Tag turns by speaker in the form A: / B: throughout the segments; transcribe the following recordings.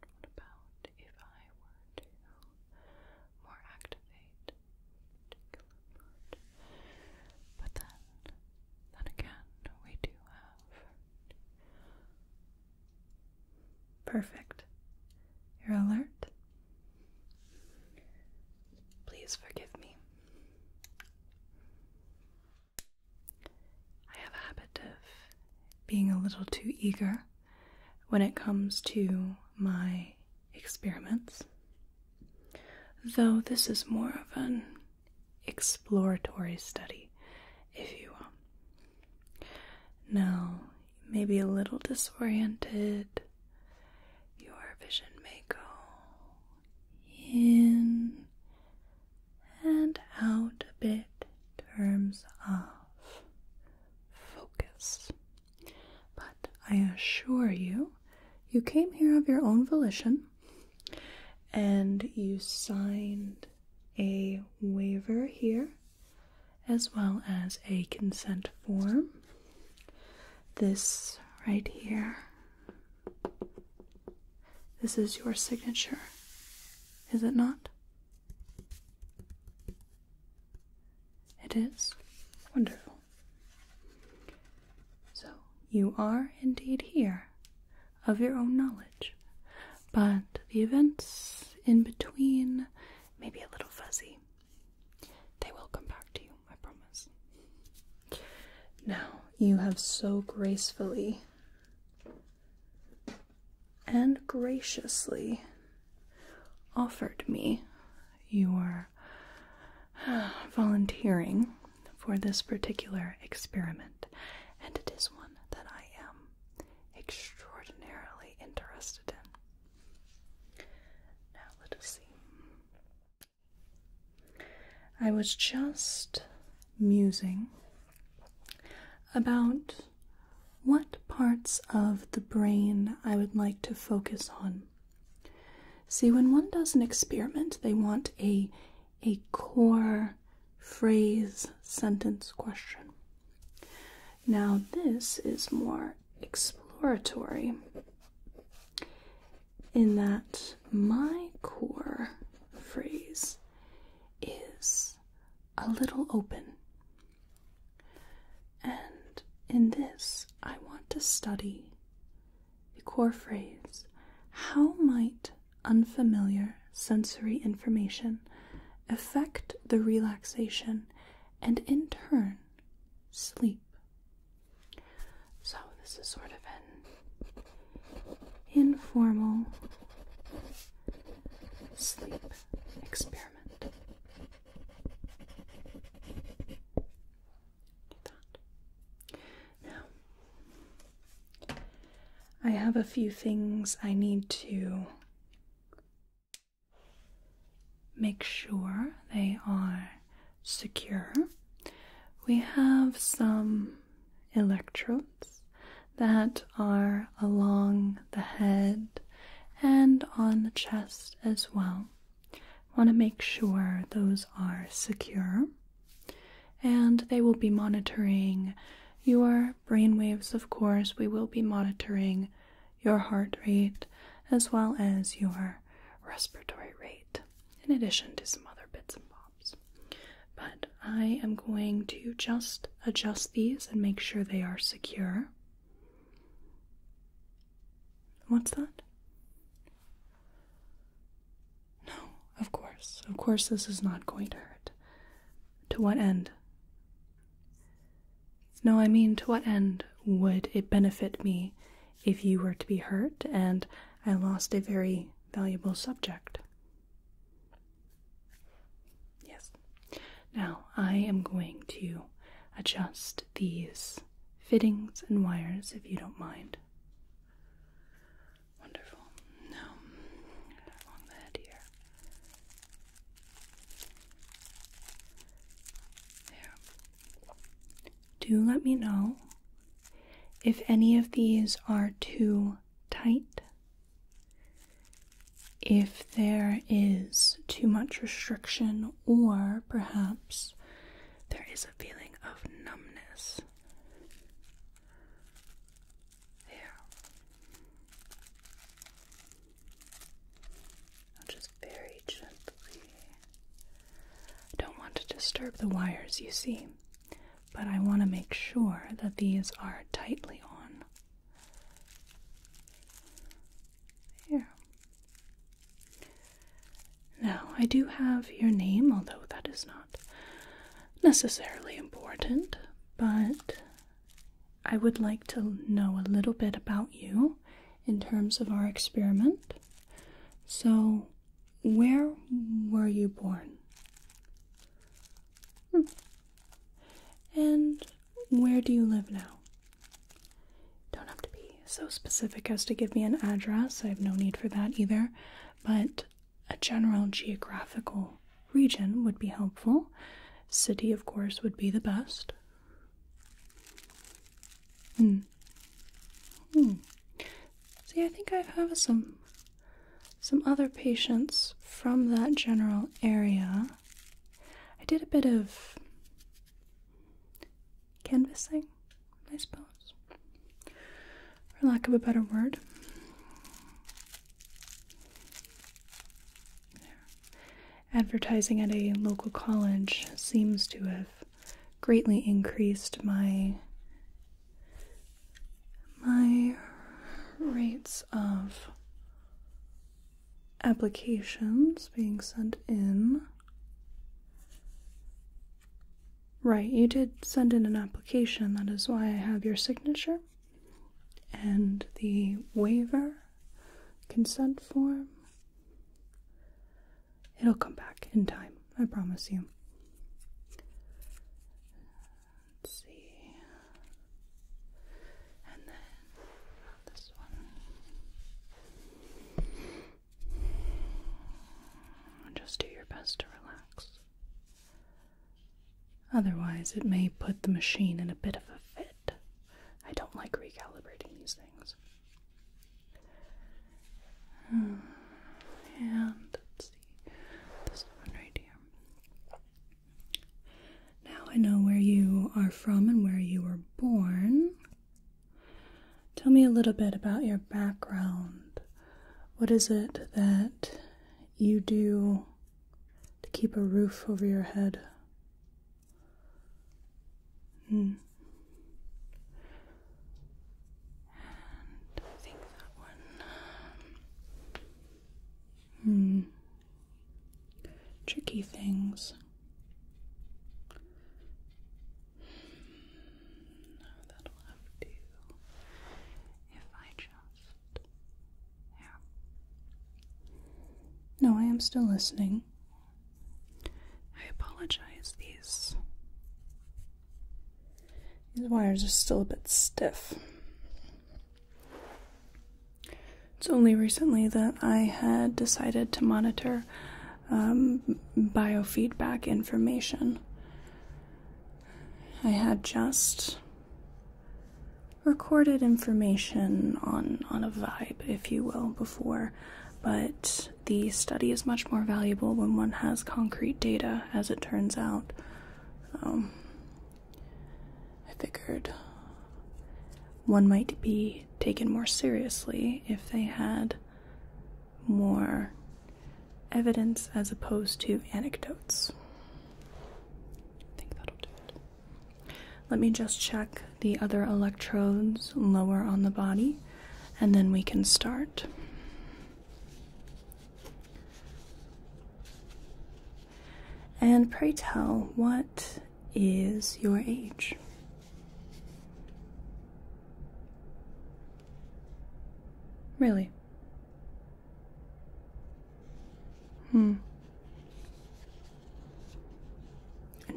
A: what about if I were to more activate But then, then again, we do have. Perfect. You're alert. Please forgive me. I have a habit of being a little too eager when it comes to my experiments, though this is more of an exploratory study, if you will. Now, maybe a little disoriented. Your vision may go in and out a bit in terms of focus. But I assure you, you came here of your own volition and you signed a waiver here as well as a consent form. This right here. This is your signature is it not? It is. Wonderful. So, you are indeed here, of your own knowledge, but the events in between may be a little fuzzy. They will come back to you, I promise. Now, you have so gracefully and graciously offered me your volunteering for this particular experiment, and it is one that I am extraordinarily interested in. Now, let us see. I was just musing about what parts of the brain I would like to focus on. See, when one does an experiment, they want a a core phrase, sentence, question. Now, this is more exploratory in that my core phrase is a little open. And in this, I want to study the core phrase how might unfamiliar sensory information affect the relaxation and in turn sleep? So, this is sort of an informal sleep experiment. Now, I have a few things I need to make sure they are secure. We have some electrodes that are along the head and on the chest as well. Want to make sure those are secure, and they will be monitoring your brain waves, of course. We will be monitoring your heart rate as well as your respiratory rate, in addition to some other bits and bobs. But I am going to just adjust these and make sure they are secure. What's that? No, of course. Of course, this is not going to hurt. To what end? No, I mean, to what end would it benefit me if you were to be hurt and I lost a very valuable subject? Yes. Now I am going to adjust these fittings and wires if you don't mind. Wonderful. Now along the head here. There. Do let me know if any of these are too tight if there is too much restriction, or perhaps there is a feeling of numbness. There. just very gently. don't want to disturb the wires, you see but I want to make sure that these are tightly on. Here. Now, I do have your name, although that is not necessarily important, but I would like to know a little bit about you in terms of our experiment. So, where were you born? Hmm. And where do you live now? Don't have to be so specific as to give me an address, I have no need for that either, but a general geographical region would be helpful. City, of course, would be the best. Hmm. Hmm. See, I think I have some some other patients from that general area. I did a bit of canvassing, I suppose, for lack of a better word. Advertising at a local college seems to have greatly increased my my rates of applications being sent in. Right, you did send in an application, that is why I have your signature and the waiver consent form. It'll come back in time, I promise you. Let's see. And then this one. Just do your best to relax. Otherwise, it may put the machine in a bit of a fit. I don't like recalibrating these things. Hmm. And let's see, this one right here. Now I know where you are from and where you were born. Tell me a little bit about your background. What is it that you do to keep a roof over your head? Hmm. Hmm. Tricky things. No, that'll have to. If I just. Yeah. No, I am still listening. I apologize. These. These wires are still a bit stiff. It's only recently that I had decided to monitor um, biofeedback information. I had just recorded information on, on a vibe, if you will, before, but the study is much more valuable when one has concrete data, as it turns out. Um, I figured one might be taken more seriously if they had more evidence as opposed to anecdotes. Let me just check the other electrodes lower on the body and then we can start. And pray tell, what is your age? Really? Hmm.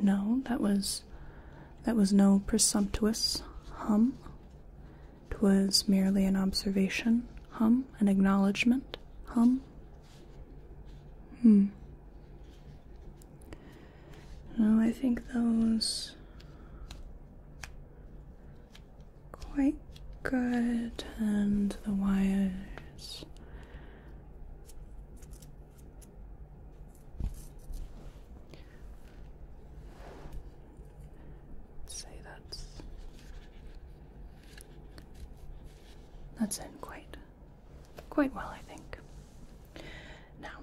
A: No, that was that was no presumptuous hum. 'Twas merely an observation, hum, an acknowledgment, hum. Hmm. No, I think those quite good, and the wires. Say that's that's in quite quite well, I think. Now,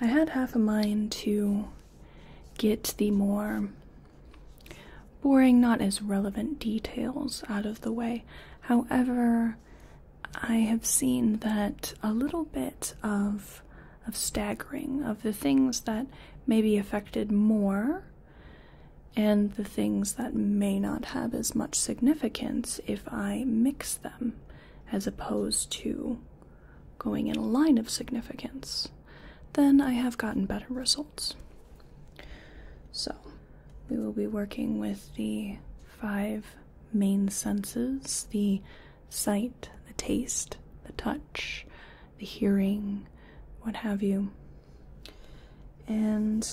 A: I had half a mind to get the more boring, not as relevant details out of the way. However, I have seen that a little bit of of staggering of the things that may be affected more and the things that may not have as much significance if I mix them as opposed to going in a line of significance, then I have gotten better results. So, we will be working with the five main senses the sight, the taste, the touch, the hearing, what have you. And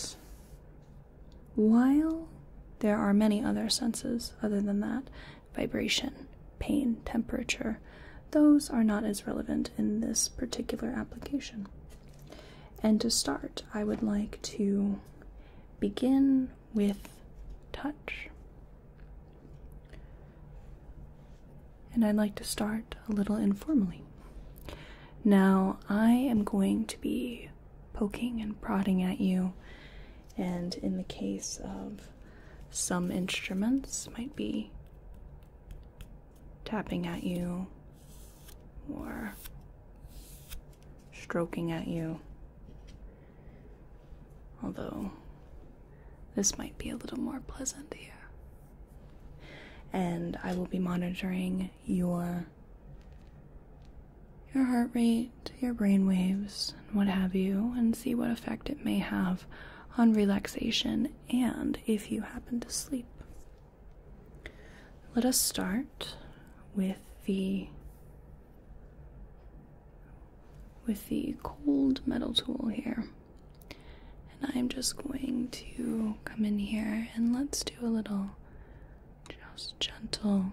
A: while there are many other senses other than that vibration, pain, temperature those are not as relevant in this particular application. And to start, I would like to begin with touch. And I'd like to start a little informally. Now, I am going to be poking and prodding at you, and in the case of some instruments, might be tapping at you or stroking at you. Although, this might be a little more pleasant here and I will be monitoring your your heart rate, your brain waves, and what have you, and see what effect it may have on relaxation and if you happen to sleep. Let us start with the with the cold metal tool here. And I'm just going to come in here and let's do a little just gentle,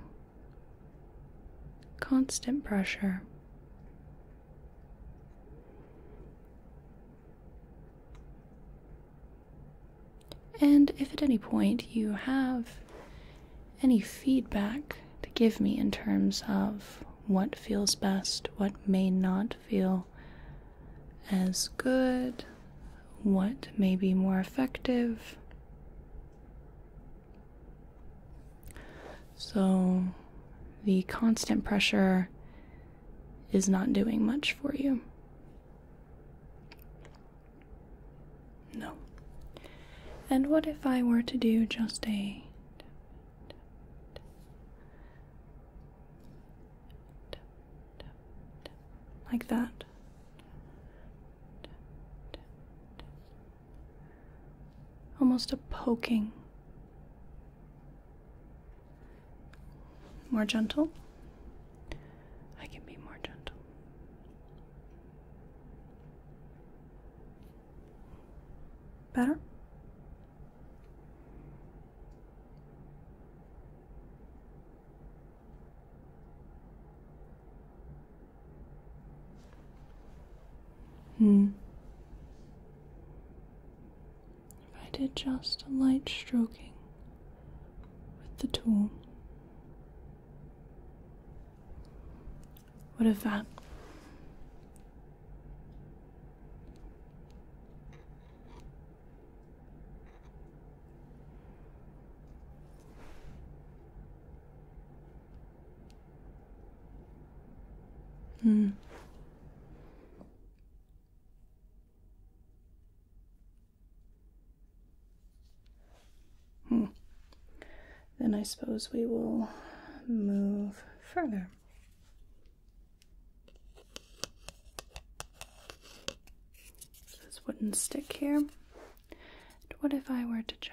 A: constant pressure. And if at any point you have any feedback to give me in terms of what feels best, what may not feel as good, what may be more effective. So, the constant pressure is not doing much for you. No. And what if I were to do just a like that. Almost a poking. More gentle. I can be more gentle. Better? Hmm. If I did just a light stroking with the tool, what if that Hmm. Hmm. Then I suppose we will move further. This wouldn't stick here. what if I were to just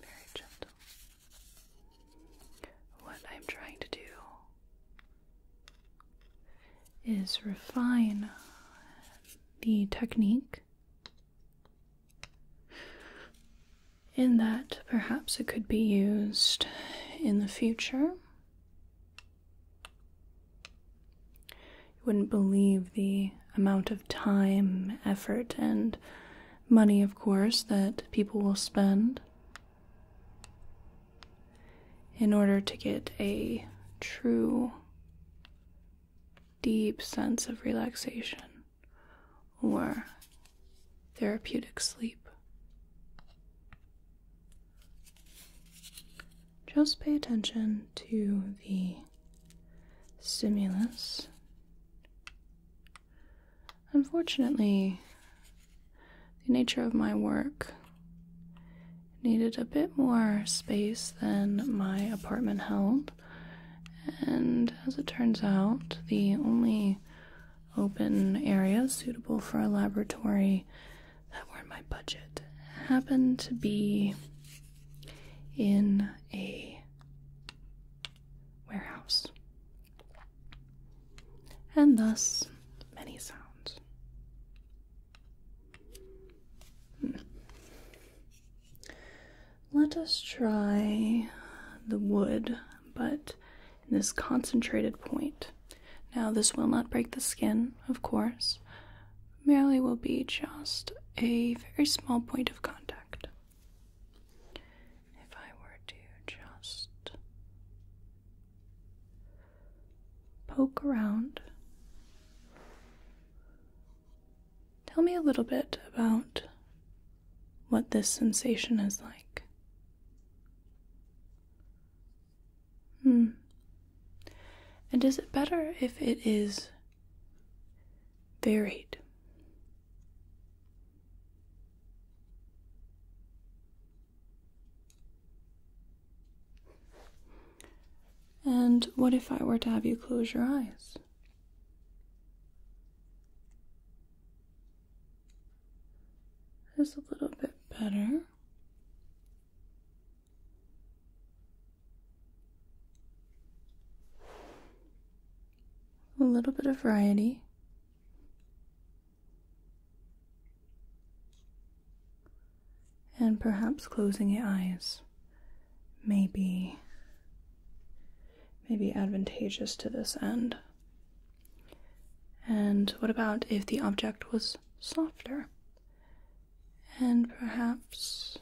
A: Very gentle. What I'm trying to do is refine the technique in that perhaps it could be used in the future you wouldn't believe the amount of time, effort, and money, of course, that people will spend in order to get a true, deep sense of relaxation or therapeutic sleep just pay attention to the stimulus. Unfortunately, the nature of my work needed a bit more space than my apartment held, and as it turns out, the only open area suitable for a laboratory that were in my budget happened to be in a warehouse, and thus many sounds. Hmm. Let us try the wood, but in this concentrated point. Now, this will not break the skin, of course, merely will be just a very small point of contact. If I were to just poke around, tell me a little bit about what this sensation is like. Hmm. And is it better if it is varied? And what if I were to have you close your eyes? It's a little bit better. A little bit of variety. And perhaps closing your eyes may be, advantageous to this end. And what about if the object was softer? and perhaps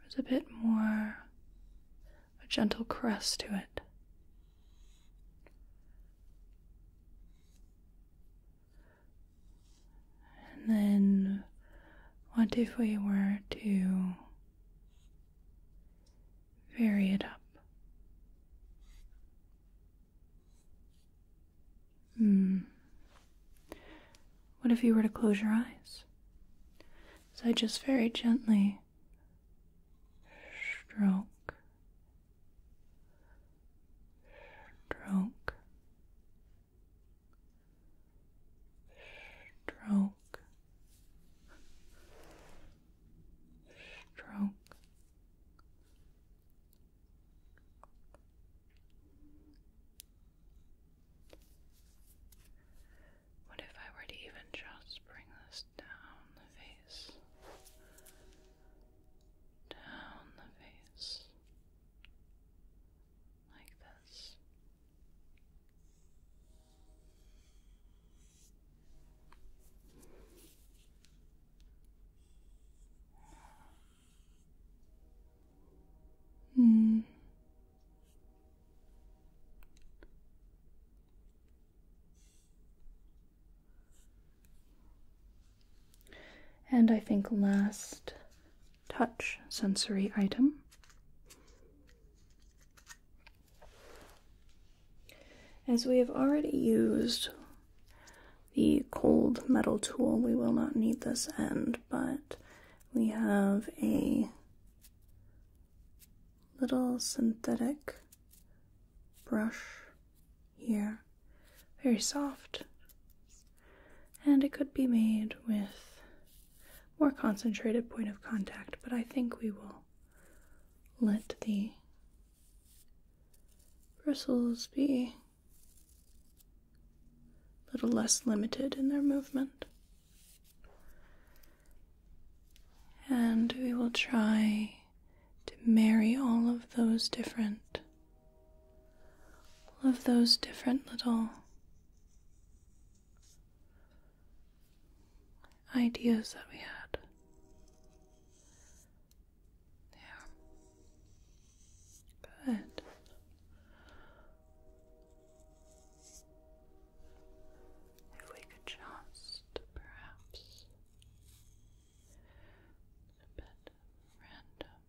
A: there's a bit more a gentle caress to it. And then, what if we were to vary it up? Hmm. What if you were to close your eyes? So I just very gently stroke, stroke, stroke, stroke, what if I were to even just bring this down the face? Down the face. Like this. Hmm. And I think last touch sensory item as we have already used the cold metal tool. We will not need this end, but we have a little synthetic brush here. Very soft. And it could be made with more concentrated point of contact, but I think we will let the bristles be little less limited in their movement. And we will try to marry all of those different, all of those different little ideas that we had there. Good. If we could just perhaps a bit random.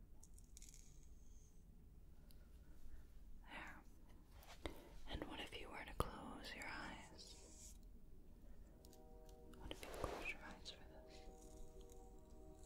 A: There. And what if you were to close your eyes? What if you close your eyes for this?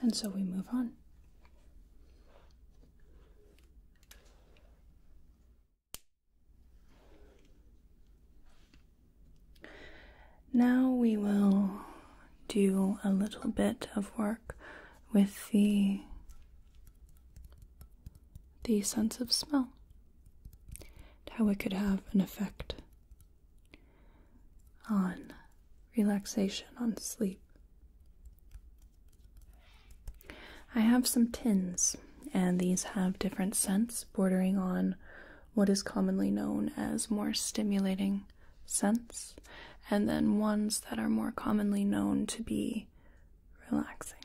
A: And so we move on. Now we will do a little bit of work with the the sense of smell how it could have an effect on relaxation on sleep. I have some tins, and these have different scents bordering on what is commonly known as more stimulating scents, and then ones that are more commonly known to be relaxing.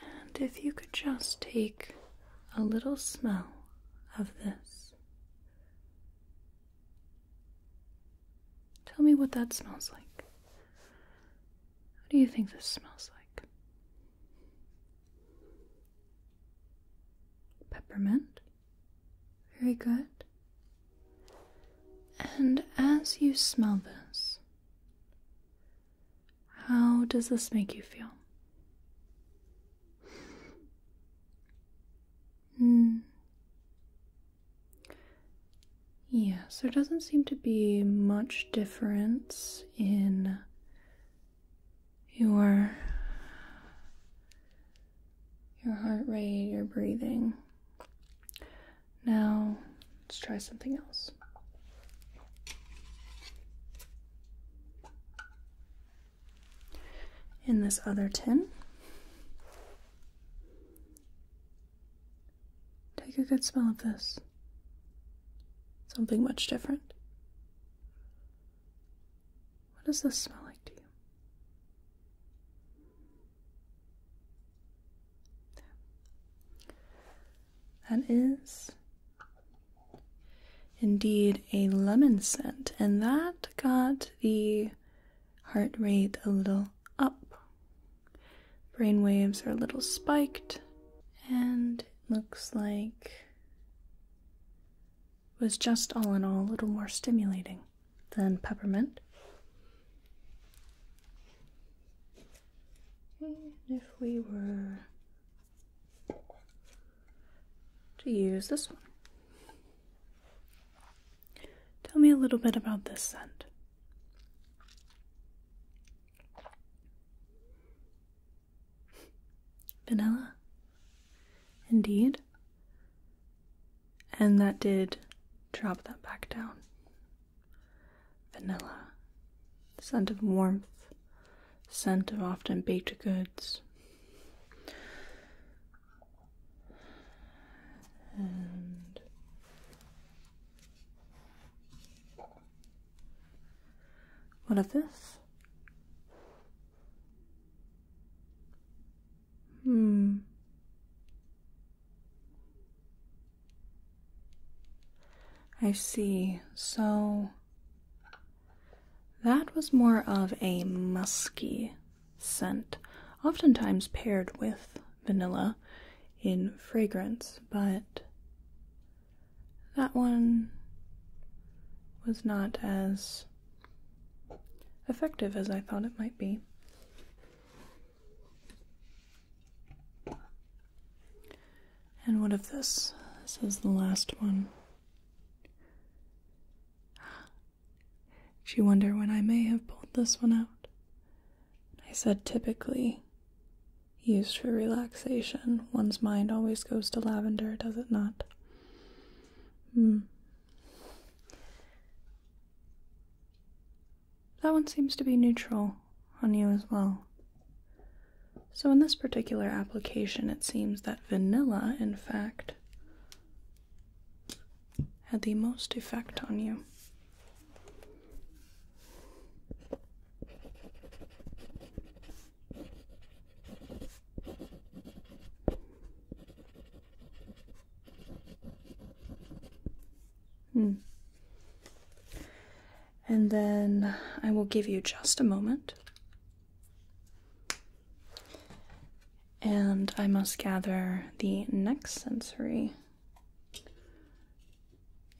A: And if you could just take a little smell of this. Tell me what that smells like. What do you think this smells like? Peppermint? Very good. And as you smell this, how does this make you feel? Hmm. Yeah, so doesn't seem to be much difference in your your heart rate, your breathing. Now, Let's try something else. In this other tin, take a good smell of this. Something much different. What does this smell like to you? That is Indeed, a lemon scent, and that got the heart rate a little up. Brain waves are a little spiked, and it looks like was just all in all a little more stimulating than peppermint. And if we were to use this one. Tell me a little bit about this scent. Vanilla? Indeed. And that did drop that back down vanilla, scent of warmth, scent of often baked goods. And what of this? Hmm. I see. So that was more of a musky scent, oftentimes paired with vanilla in fragrance, but that one was not as effective as I thought it might be. And what of this? This is the last one. Do you wonder when I may have pulled this one out. I said typically used for relaxation. One's mind always goes to lavender, does it not? Hmm. That one seems to be neutral on you as well. So, in this particular application, it seems that vanilla, in fact, had the most effect on you. Hmm and then I will give you just a moment. And I must gather the next sensory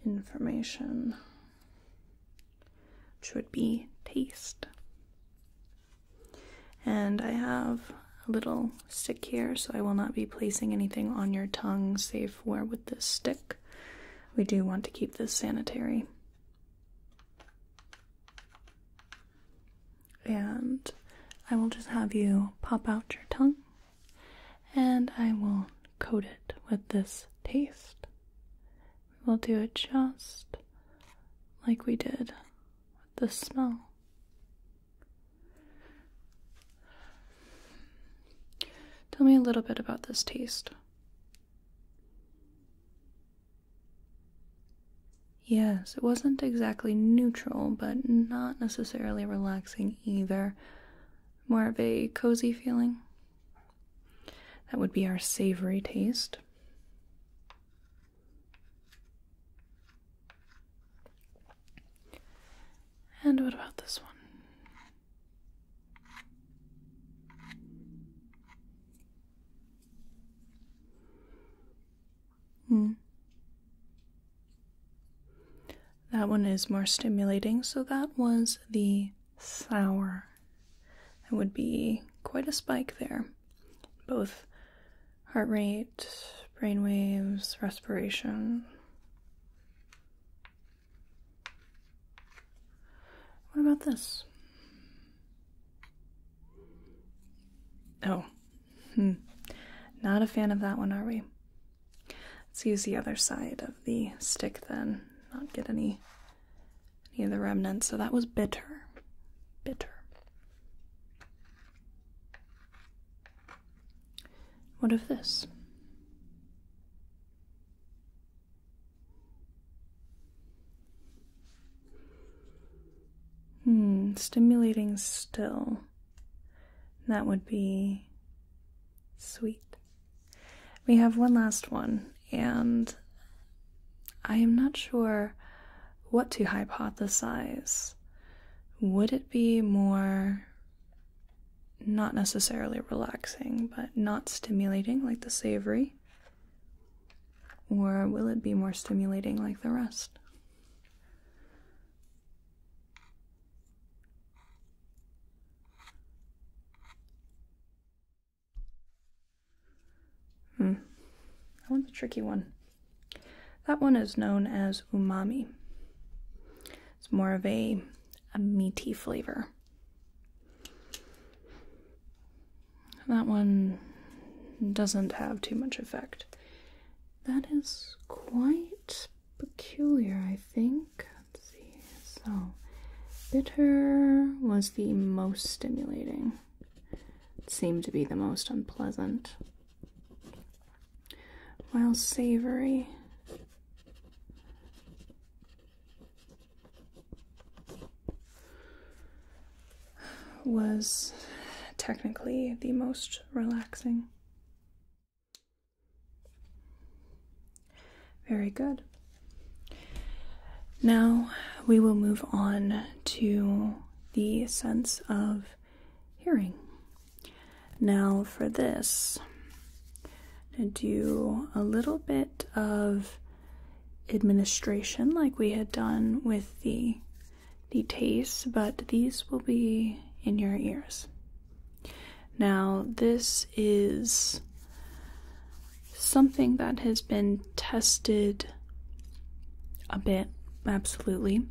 A: information, which would be taste. And I have a little stick here, so I will not be placing anything on your tongue save where with this stick we do want to keep this sanitary. And I will just have you pop out your tongue and I will coat it with this taste. We'll do it just like we did with the smell. Tell me a little bit about this taste. Yes, it wasn't exactly neutral, but not necessarily relaxing either. More of a cozy feeling. That would be our savory taste. And what about this one? Hmm. That one is more stimulating, so that was the sour. That would be quite a spike there. Both heart rate, brain waves, respiration. What about this? Oh, hmm. Not a fan of that one, are we? Let's use the other side of the stick then, not get any any of the remnants. So that was bitter. Bitter. What of this? Hmm, stimulating still. That would be sweet. We have one last one, and I am not sure what to hypothesize. Would it be more not necessarily relaxing, but not stimulating like the savory? Or will it be more stimulating like the rest? Hmm. That one's a tricky one. That one is known as umami. It's more of a, a meaty flavor. That one doesn't have too much effect. That is quite peculiar, I think. Let's see. So, bitter was the most stimulating, it seemed to be the most unpleasant. While savory was technically the most relaxing. Very good. Now we will move on to the sense of hearing. Now, for this, to do a little bit of administration like we had done with the the taste, but these will be in your ears. Now, this is something that has been tested a bit, absolutely.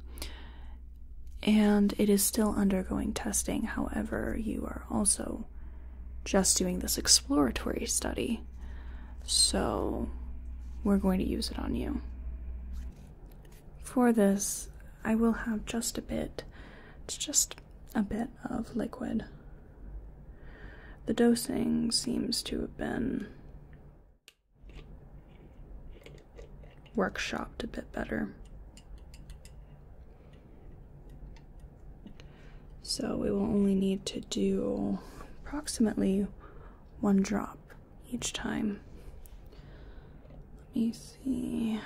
A: And it is still undergoing testing. However, you are also just doing this exploratory study. So we're going to use it on you. For this, I will have just a bit, it's just a bit of liquid. The dosing seems to have been workshopped a bit better. So we will only need to do approximately one drop each time. Let me see.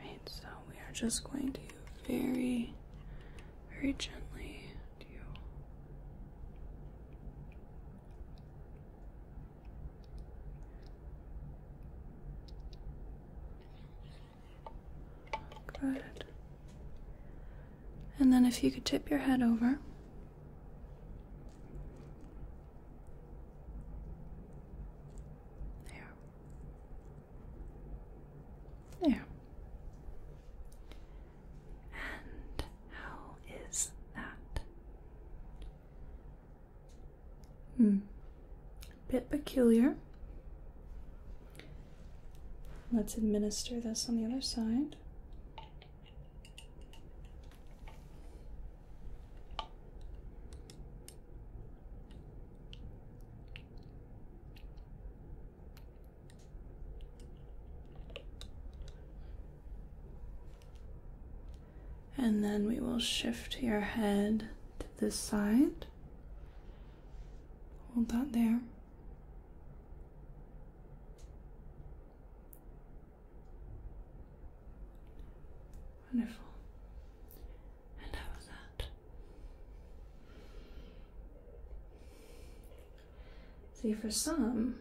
A: Right, so we are just going to very, very gently do. Good. And then if you could tip your head over. There. There. And how is that? Hmm. bit peculiar. Let's administer this on the other side. And then we will shift your head this side. Hold that there. Wonderful. And how was that? See, for some,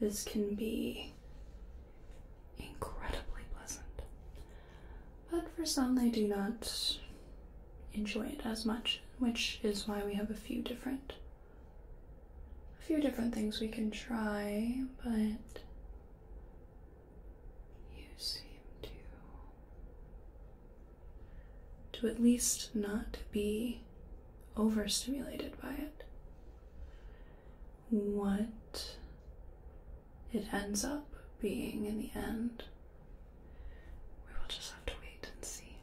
A: this can be incredibly pleasant. But for some, they do not enjoy it as much, which is why we have a few different a few different things we can try, but you seem to to at least not be overstimulated by it. What it ends up being in the end. We will just have to wait and see.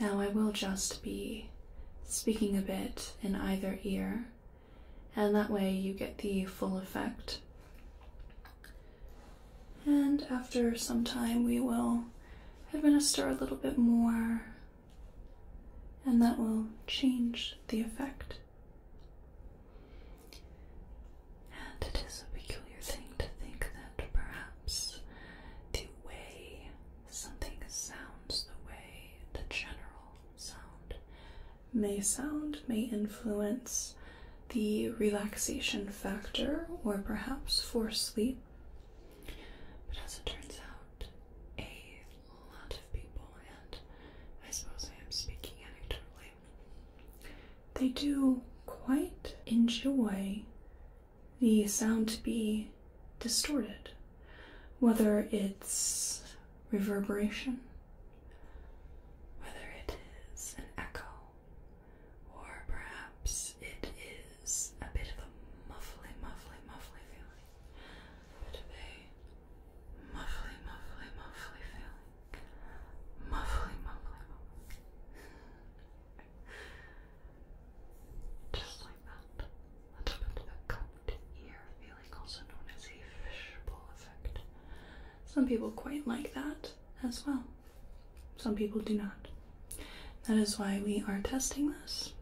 A: Now, I will just be speaking a bit in either ear, and that way you get the full effect. And after some time, we will administer a little bit more and that will change the effect. And it is a peculiar thing to think that perhaps the way something sounds, the way the general sound may sound, may influence the relaxation factor or perhaps for sleep. But as it turns out, a a lot of people, and I suppose I am speaking anecdotally, they do quite enjoy the sound to be distorted, whether it's reverberation, whether it is an echo, or perhaps it is a bit of a muffly, muffly, muffly feeling, a bit muffly, muffly, muffly feeling. Muffly, muffly, muffly. Just like that. A little bit of a cupped ear feeling, also known as a fishbowl effect. Some people quite like that as well. Some people do not. That is why we are testing this.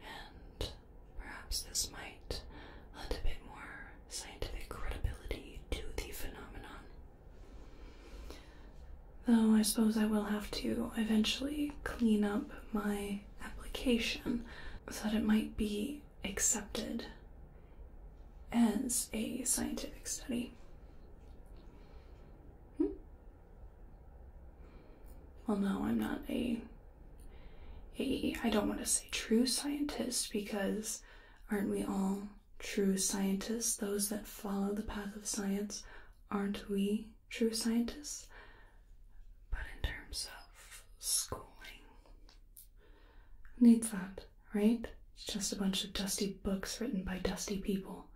A: And Perhaps this might lend a bit more scientific credibility to the phenomenon. Though I suppose I will have to eventually clean up my application so that it might be accepted as a scientific study. Hmm? well no i'm not a a i don't want to say true scientist because aren't we all true scientists those that follow the path of science aren't we true scientists but in terms of schooling needs that right it's just a bunch of dusty books written by dusty people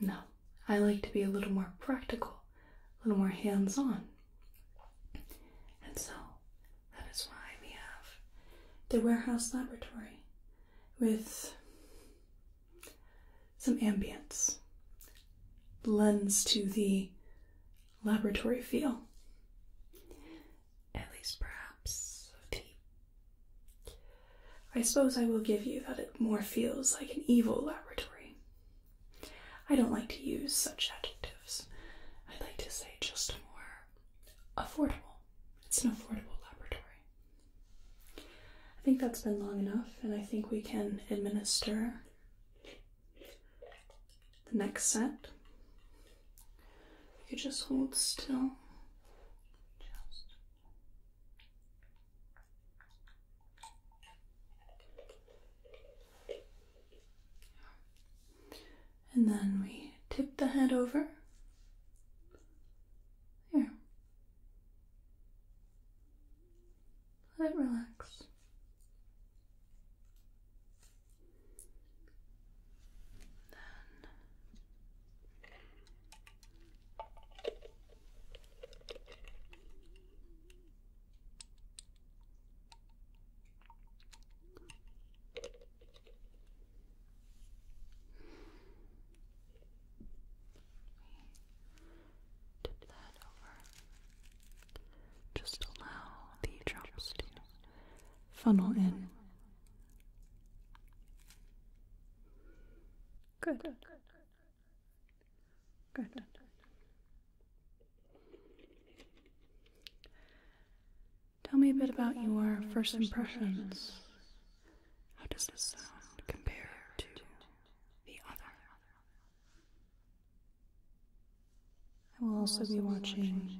A: no i like to be a little more practical a little more hands on and so that is why we have the warehouse laboratory with some ambience, Blends to the laboratory feel. At least, perhaps, I suppose I will give you that it more feels like an evil laboratory I don't like to use such adjectives. I like to say just more affordable. It's an affordable laboratory. I think that's been long enough, and I think we can administer the next set. You just hold still. And then we tip the head over. There. Let it relax. Just allow the drops to funnel in. good. Good. Tell me a bit about your first impressions. How does this sound compare to the other? I will also be watching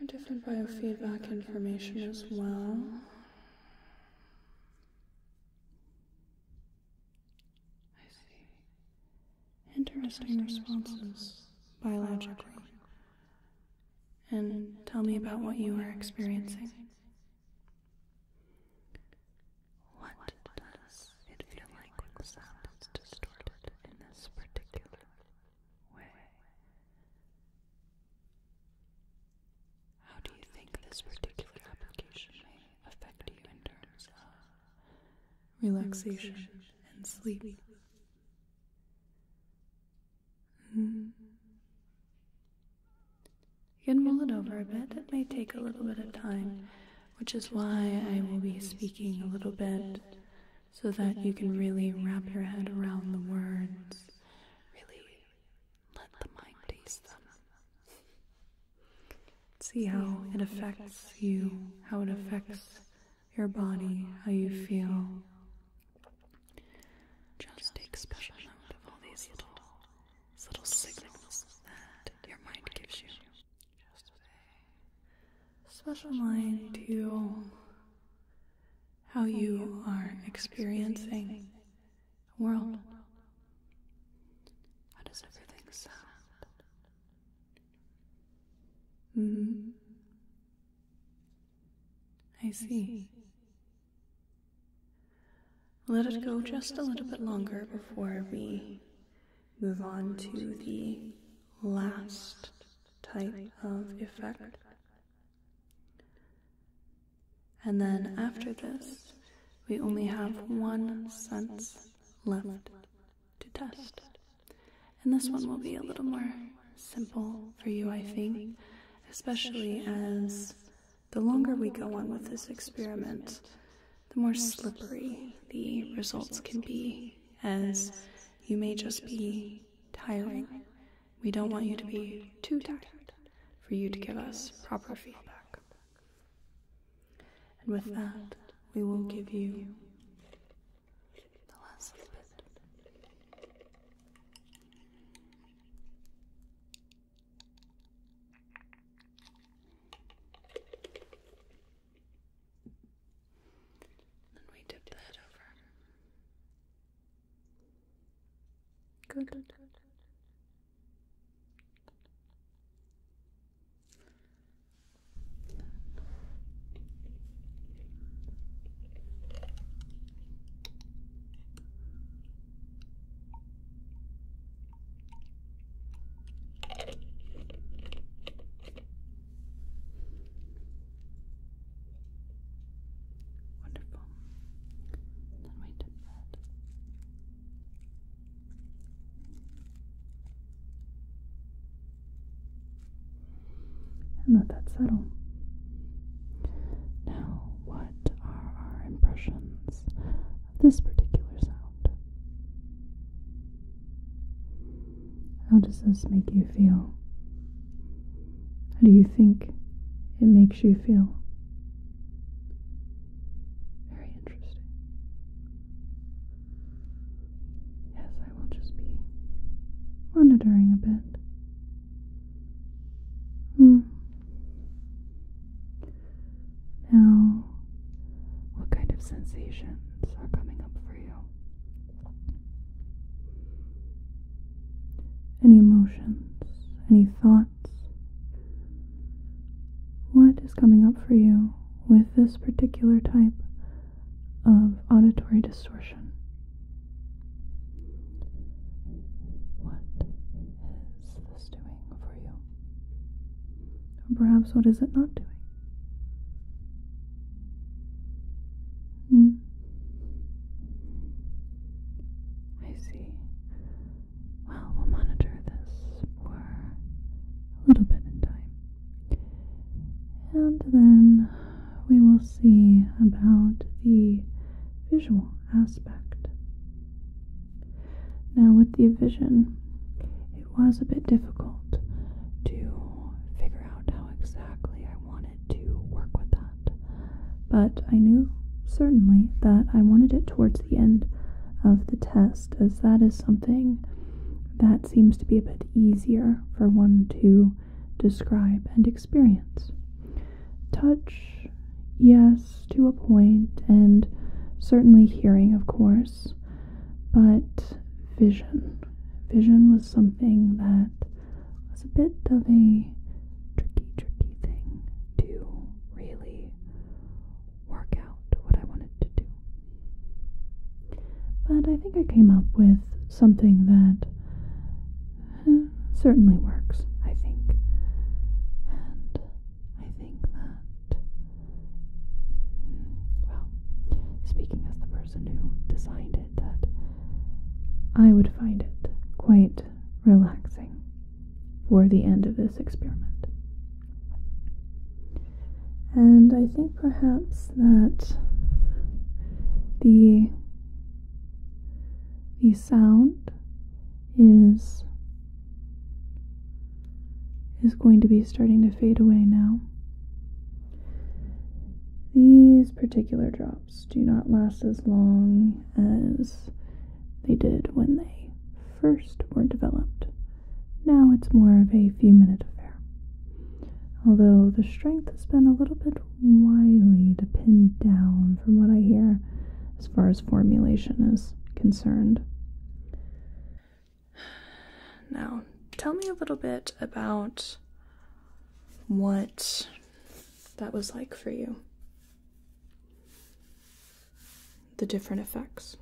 A: your different biofeedback information as well. Interesting responses, biologically. And tell me about what you are experiencing. What does it feel like when distorted in this particular way? How do you think this particular application may affect you in terms of relaxation and sleep? Hmm. You can mull it over a bit. It may take a little bit of time, which is why I will be speaking a little bit so that you can really wrap your head around the words, really let the mind taste them. See how it affects you, how it affects your body, how you feel. Just take special note of all these little, signals that your mind gives you. Just pay special mind to how you are experiencing world. How does everything sound? Mm-hmm. I see. Let it go just a little bit longer before we move on to the last type of effect. And then after this, we only have one sense left to test. And this one will be a little more simple for you, I think, especially as the longer we go on with this experiment, the more slippery the results can be, as you may just be tiring. We don't want you to be too tired for you to give us proper feedback. And with that, we will give you the last of bit. Then we dip that over. Good. Wonderful. Then we did that and let that settle. Now, what are our impressions of this particular sound? How does this make you feel? How do you think it makes you feel? Very interesting. Yes, I will just be monitoring a bit. Hmm. Now, what kind of sensations are coming up for you? Any emotions, any thoughts? What is coming up for you with this particular type of auditory distortion? What is this doing for you? perhaps what is it not doing? Hmm. I see. Well, we'll monitor this for a little bit in time. And then we will see about the visual aspect. Now, with the vision, it was a bit difficult to figure out how exactly I wanted to work with that. But I knew certainly that I wanted it towards the end of the test past, as that is something that seems to be a bit easier for one to describe and experience. Touch, yes, to a point, and certainly hearing, of course, but vision. Vision was something that was a bit of a tricky, tricky thing to really work out what I wanted to do. But I think I came up with something that uh, certainly works, I think. And I think that, hmm, well, speaking as the person who designed it, that I would find it quite relaxing for the end of this experiment. And I think perhaps that the the sound is is going to be starting to fade away now. These particular drops do not last as long as they did when they first were developed. Now it's more of a few minute affair. Although the strength has been a little bit wily to pin down, from what I hear, as far as formulation is concerned. Now, tell me a little bit about what that was like for you the different effects.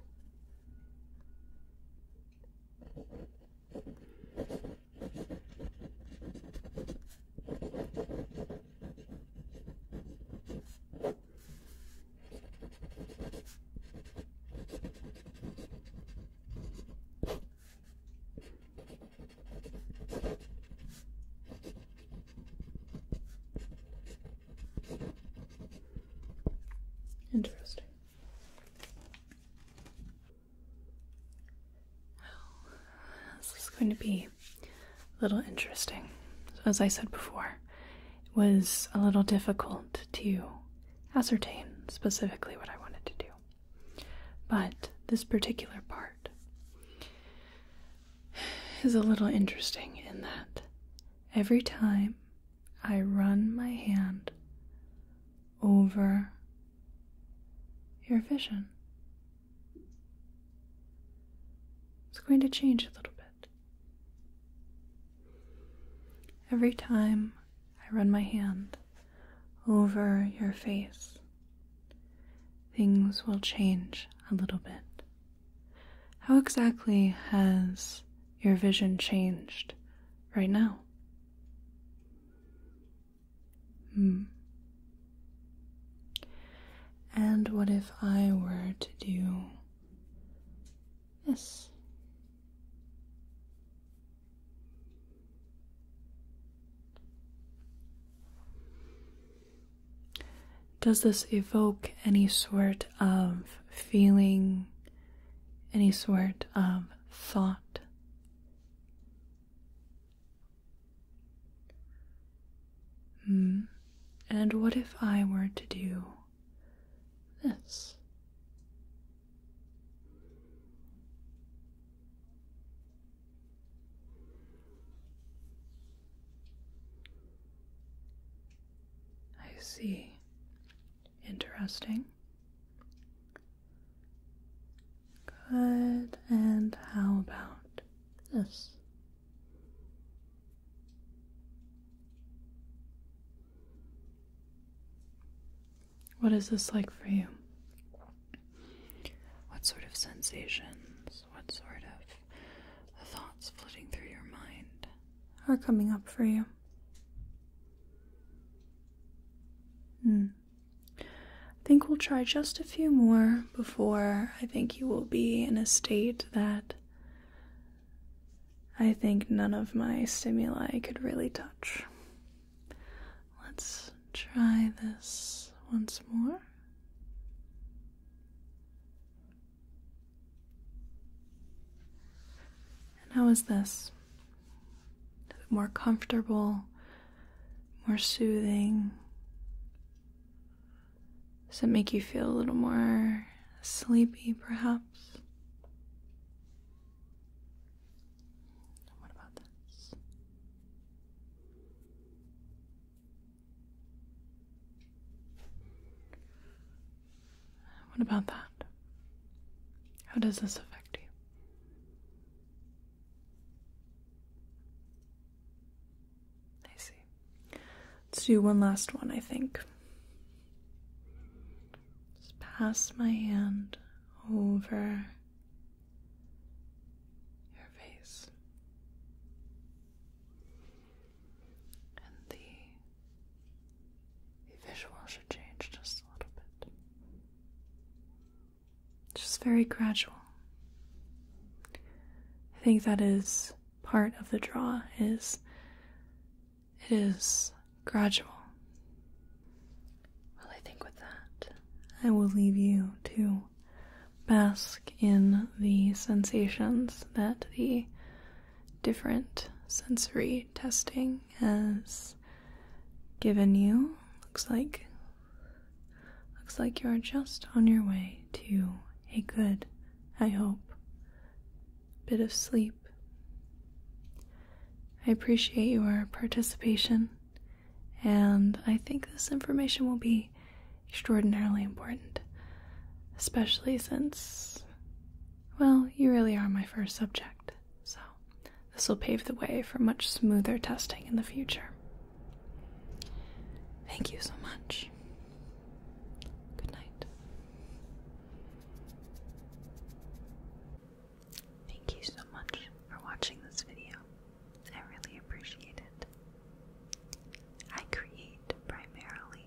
A: Interesting. this is going to be a little interesting. as I said before, it was a little difficult to ascertain specifically what I wanted to do. But this particular part is a little interesting in that every time I run my hand over your vision. It's going to change a little bit. Every time I run my hand over your face, things will change a little bit. How exactly has your vision changed right now? Hmm. And what if I were to do this? Does this evoke any sort of feeling, any sort of thought? Hmm. And what if I were to do this? I see. Interesting. Good. And how about this? What is this like for you? What sort of sensations? What sort of the thoughts flitting through your mind are coming up for you. Hmm. I think we'll try just a few more before I think you will be in a state that I think none of my stimuli could really touch. Let's try this once more. And how is this? more comfortable, more soothing? Does it make you feel a little more sleepy, perhaps? What about this? What about that? How does this affect you? I see. Let's do one last one, I think. Just pass my hand over your face and the, the visual should change just a little bit. Just very gradual. I think that is part of the draw is it is gradual. Well, I think with that, I will leave you to bask in the sensations that the different sensory testing has given you. Looks like looks like you're just on your way to a good, I hope, bit of sleep. I appreciate your participation, and I think this information will be extraordinarily important, especially since well, you really are my first subject, so this will pave the way for much smoother testing in the future. Thank you so much. Good night. Thank you so much for watching this video. I really appreciate it. I create primarily